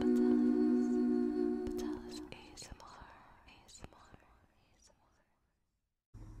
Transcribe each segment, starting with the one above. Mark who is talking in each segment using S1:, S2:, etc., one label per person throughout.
S1: Patelis, ASMR, ASMR, ASMR. Hello.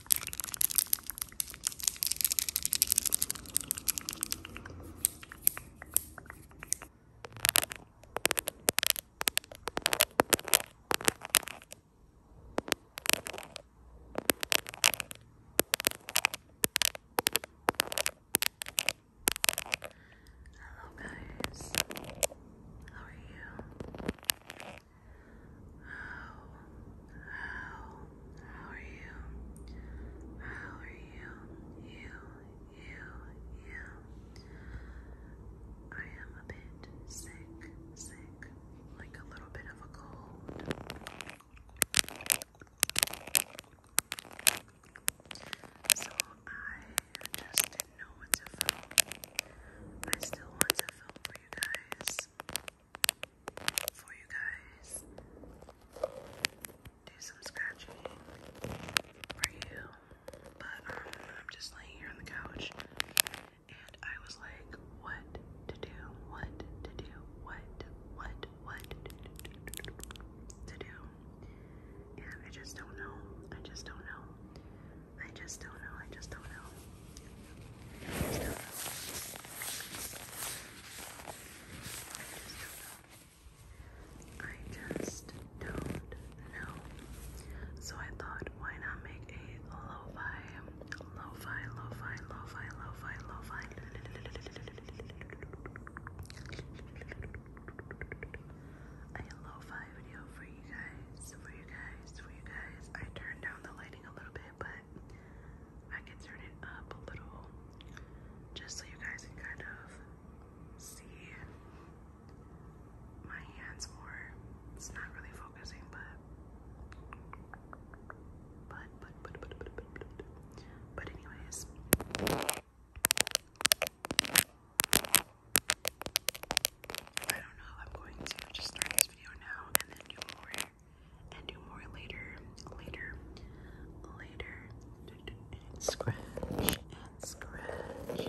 S1: Hello guys. How are you? How, how, how are you? How are you? You, you, you. I am a bit sick, sick, like a little bit of a cold. So I just didn't know what to film. I still want to film for you guys. For you guys. Do some scratching for you. But um, I'm just laying here on the couch and I was like, what to do, what to do, what, what, what to do. And I just don't know. I just don't know. I just don't know. I just don't know. I just don't know. I just don't know. So I thought, why not make a lo-fi, lo-fi, lo-fi, lo-fi, lo-fi, lo-fi, a lo-fi video for you guys, for you guys, for you guys. I turned down the lighting a little bit, but I can turn it up a little just so you guys can kind of see my hands more. It's not really focusing, but but but but but but but but, but anyways. I don't know if I'm going to just start this video now and then do more and do more later, later, later, and scratch, and scratch, and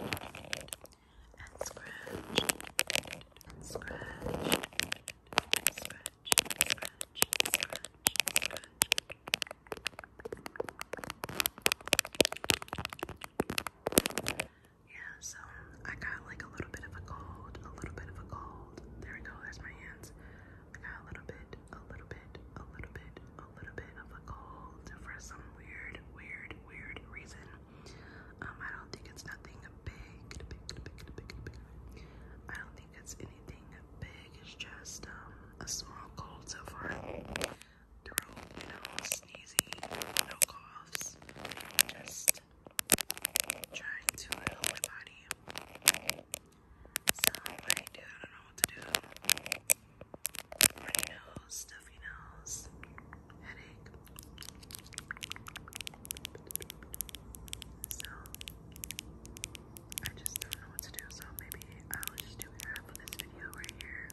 S1: scratch, and scratch, and scratch. Scratch, scratch, scratch. Yeah, so I got like a little bit of a cold, a little bit of a cold. There we go, there's my hands. I got a little bit, a little bit, a little bit, a little bit of a cold for some weird, weird, weird reason. Um, I don't think it's nothing big, big, big, big, big, big. I don't think it's anything big, it's just um, a small cold so far. Throat, you know, sneezing, no coughs, just trying to help my body. So, like, dude, I don't know what to do. stuffy nose, headache. So, I just don't know what to do. So, maybe I'll just do half of this video right here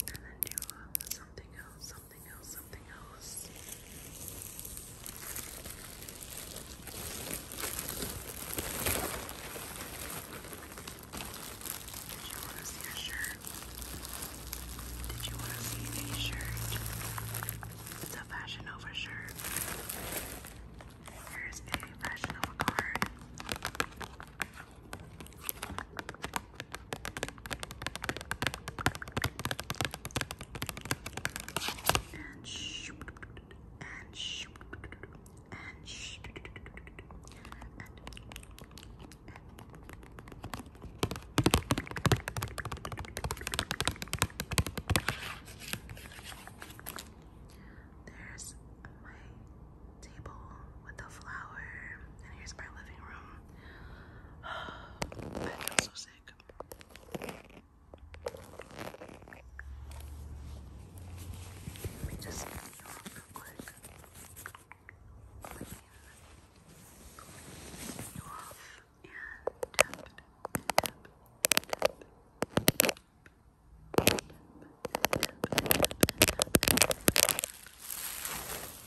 S1: and then do uh, something else, something else, something else. Did you want to see a shirt? Did you want to see a shirt? It's a Fashion Nova shirt. Here's a Fashion Nova card. And shoot, and shoot, and shoot, There's my table with the flower, and here's my living room. I feel so sick. Let me just get you off real quick. get you off and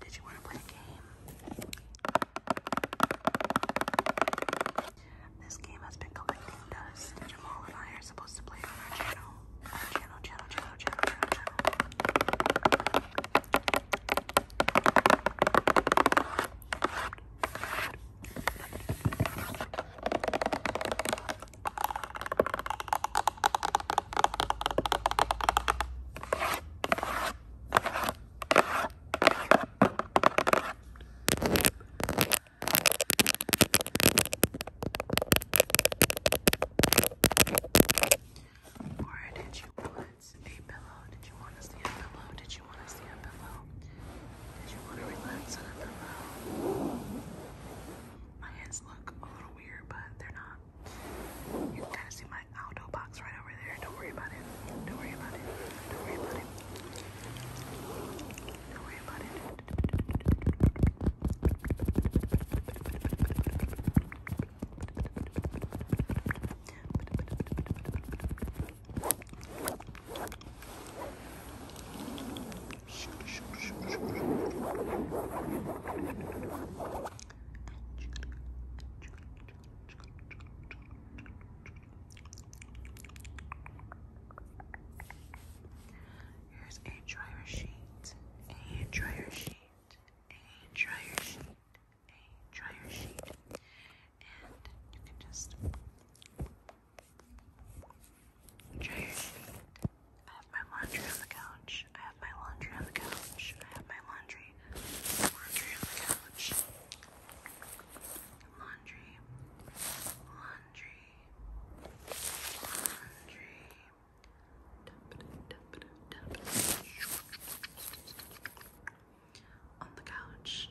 S1: Did you want to play a game? This game has been collecting dust. Jamal and I are supposed to play on Our channel, channel, channel, channel, channel, channel. Or did you want a pillow? Did you want to see a pillow? Did you want to see a pillow? Did you want to relax on a pillow? My hands look a little weird, but they're not. You can kind of see my auto box right over there. Don't worry about it. Don't worry about it. Don't worry about it. Don't worry about it. Here's a dryer sheet, a dryer sheet, a dryer sheet, a dryer sheet, and you can just Jake, I have my laundry on the couch. I have my laundry on the couch. I have my laundry. Laundry on the couch. Laundry. Laundry. Laundry. On the couch.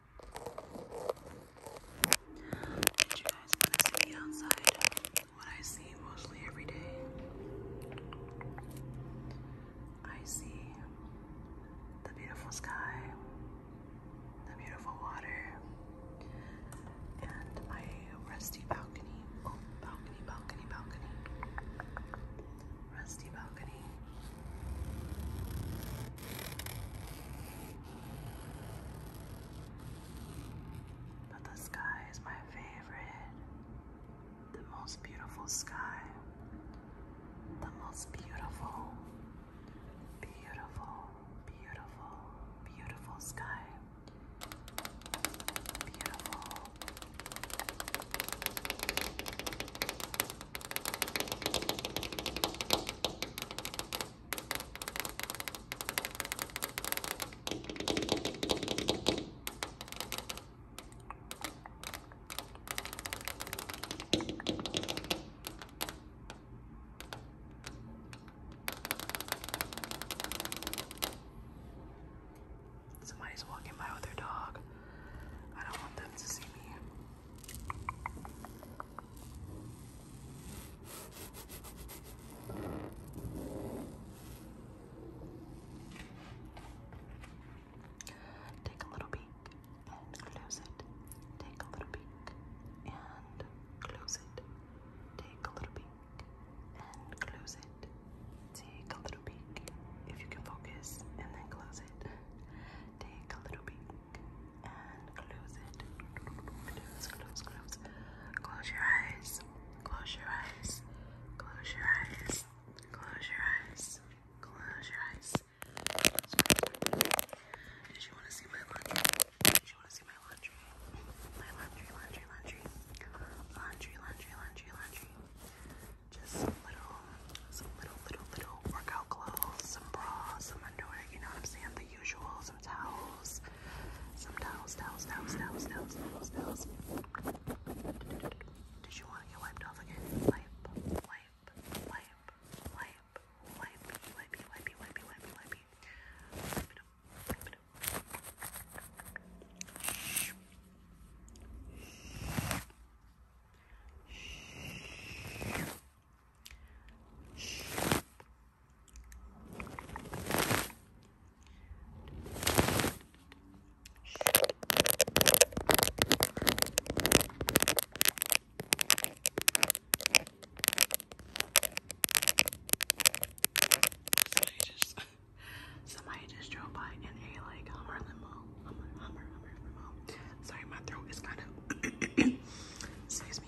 S1: you guys want to see outside? What I see mostly every day. I see the beautiful sky, the beautiful water, and my rusty balcony. Oh, balcony, balcony, balcony. Rusty balcony. But the sky is my favorite. The most beautiful sky. The most beautiful, beautiful, beautiful, beautiful sky. Beautiful. Somebody's walking by with their dog. I don't want them to see me. Take a little peek and close it. Take a little peek and close it. Take a little peek and close it. Take a little peek if you can focus and then close it. Take a little peek and close it. Close, close, close. Close your eyes. Close your eyes. Close your eyes. Close your eyes. Close your eyes. Did you want to see my laundry? Did you want to see my laundry? My laundry, laundry, laundry. Laundry, laundry, laundry, laundry. Just little, some little, little, little workout clothes, some bras, some underwear, you know what I'm saying? The usual, some towels, some towels, towels, towels, towels, towels, towels, towels. Did you want to get wiped off again? Wipe, wipe, wipe, wipe, wipe, wipe, wipe, wipe, wipe, wipe. Wipe it up, wipe it up. Shh. Shh. Somebody just, drove by in a like Hummer limo, Sorry, my throat is kind of. Excuse me.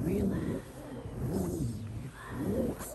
S1: And relax, relax, relax, relax.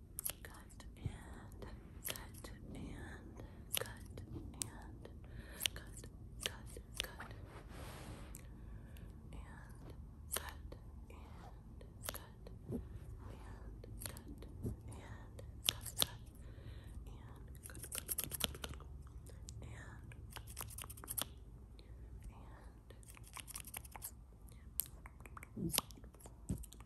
S1: cut and cut and cut and cut, cut, cut, and cut and cut and cut and cut and cut cut cut cut cut and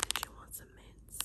S1: Did you want some mints?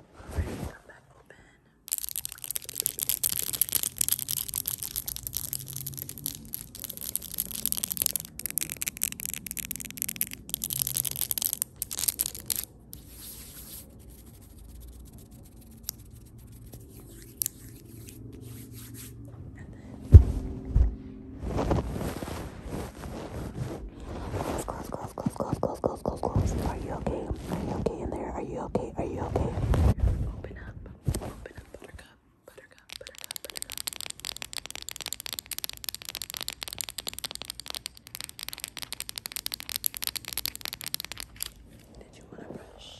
S1: Alright, come back open. And then Close, close, close, close, close, close, close, close. Are you okay? Are you okay in there? Are you okay? Are you okay? Open up. Open up, buttercup. Buttercup, buttercup, buttercup. Did you want to brush?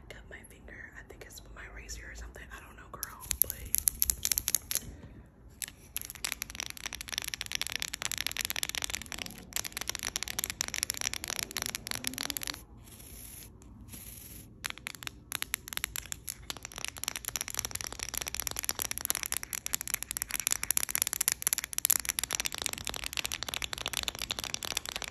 S1: I got my I think it's my razor or something. I don't know, girl, but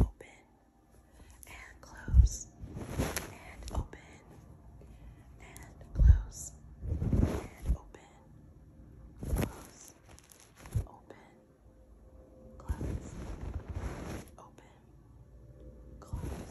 S1: Open and close and open and close and open, close, open, close, open, close. Close.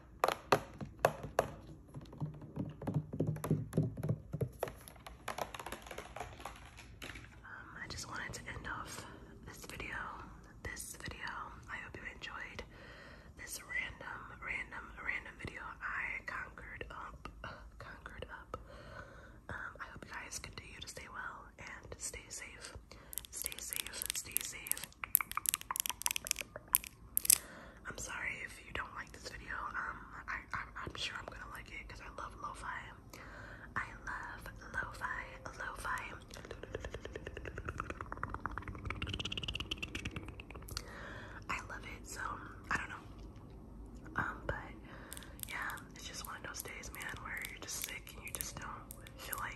S1: Um, I just wanted to end off this video. This video. I hope you enjoyed this random, random, random video. I conquered up, conquered up. Um, I hope you guys continue to stay well and stay safe. Stay safe. Stay safe. I'm sorry if you don't like this video. Um, I, am sure I'm gonna like it because I love lo-fi. I love lo-fi, I love it. So I don't know. Um, but yeah, it's just one of those days, man, where you're just sick and you just don't feel like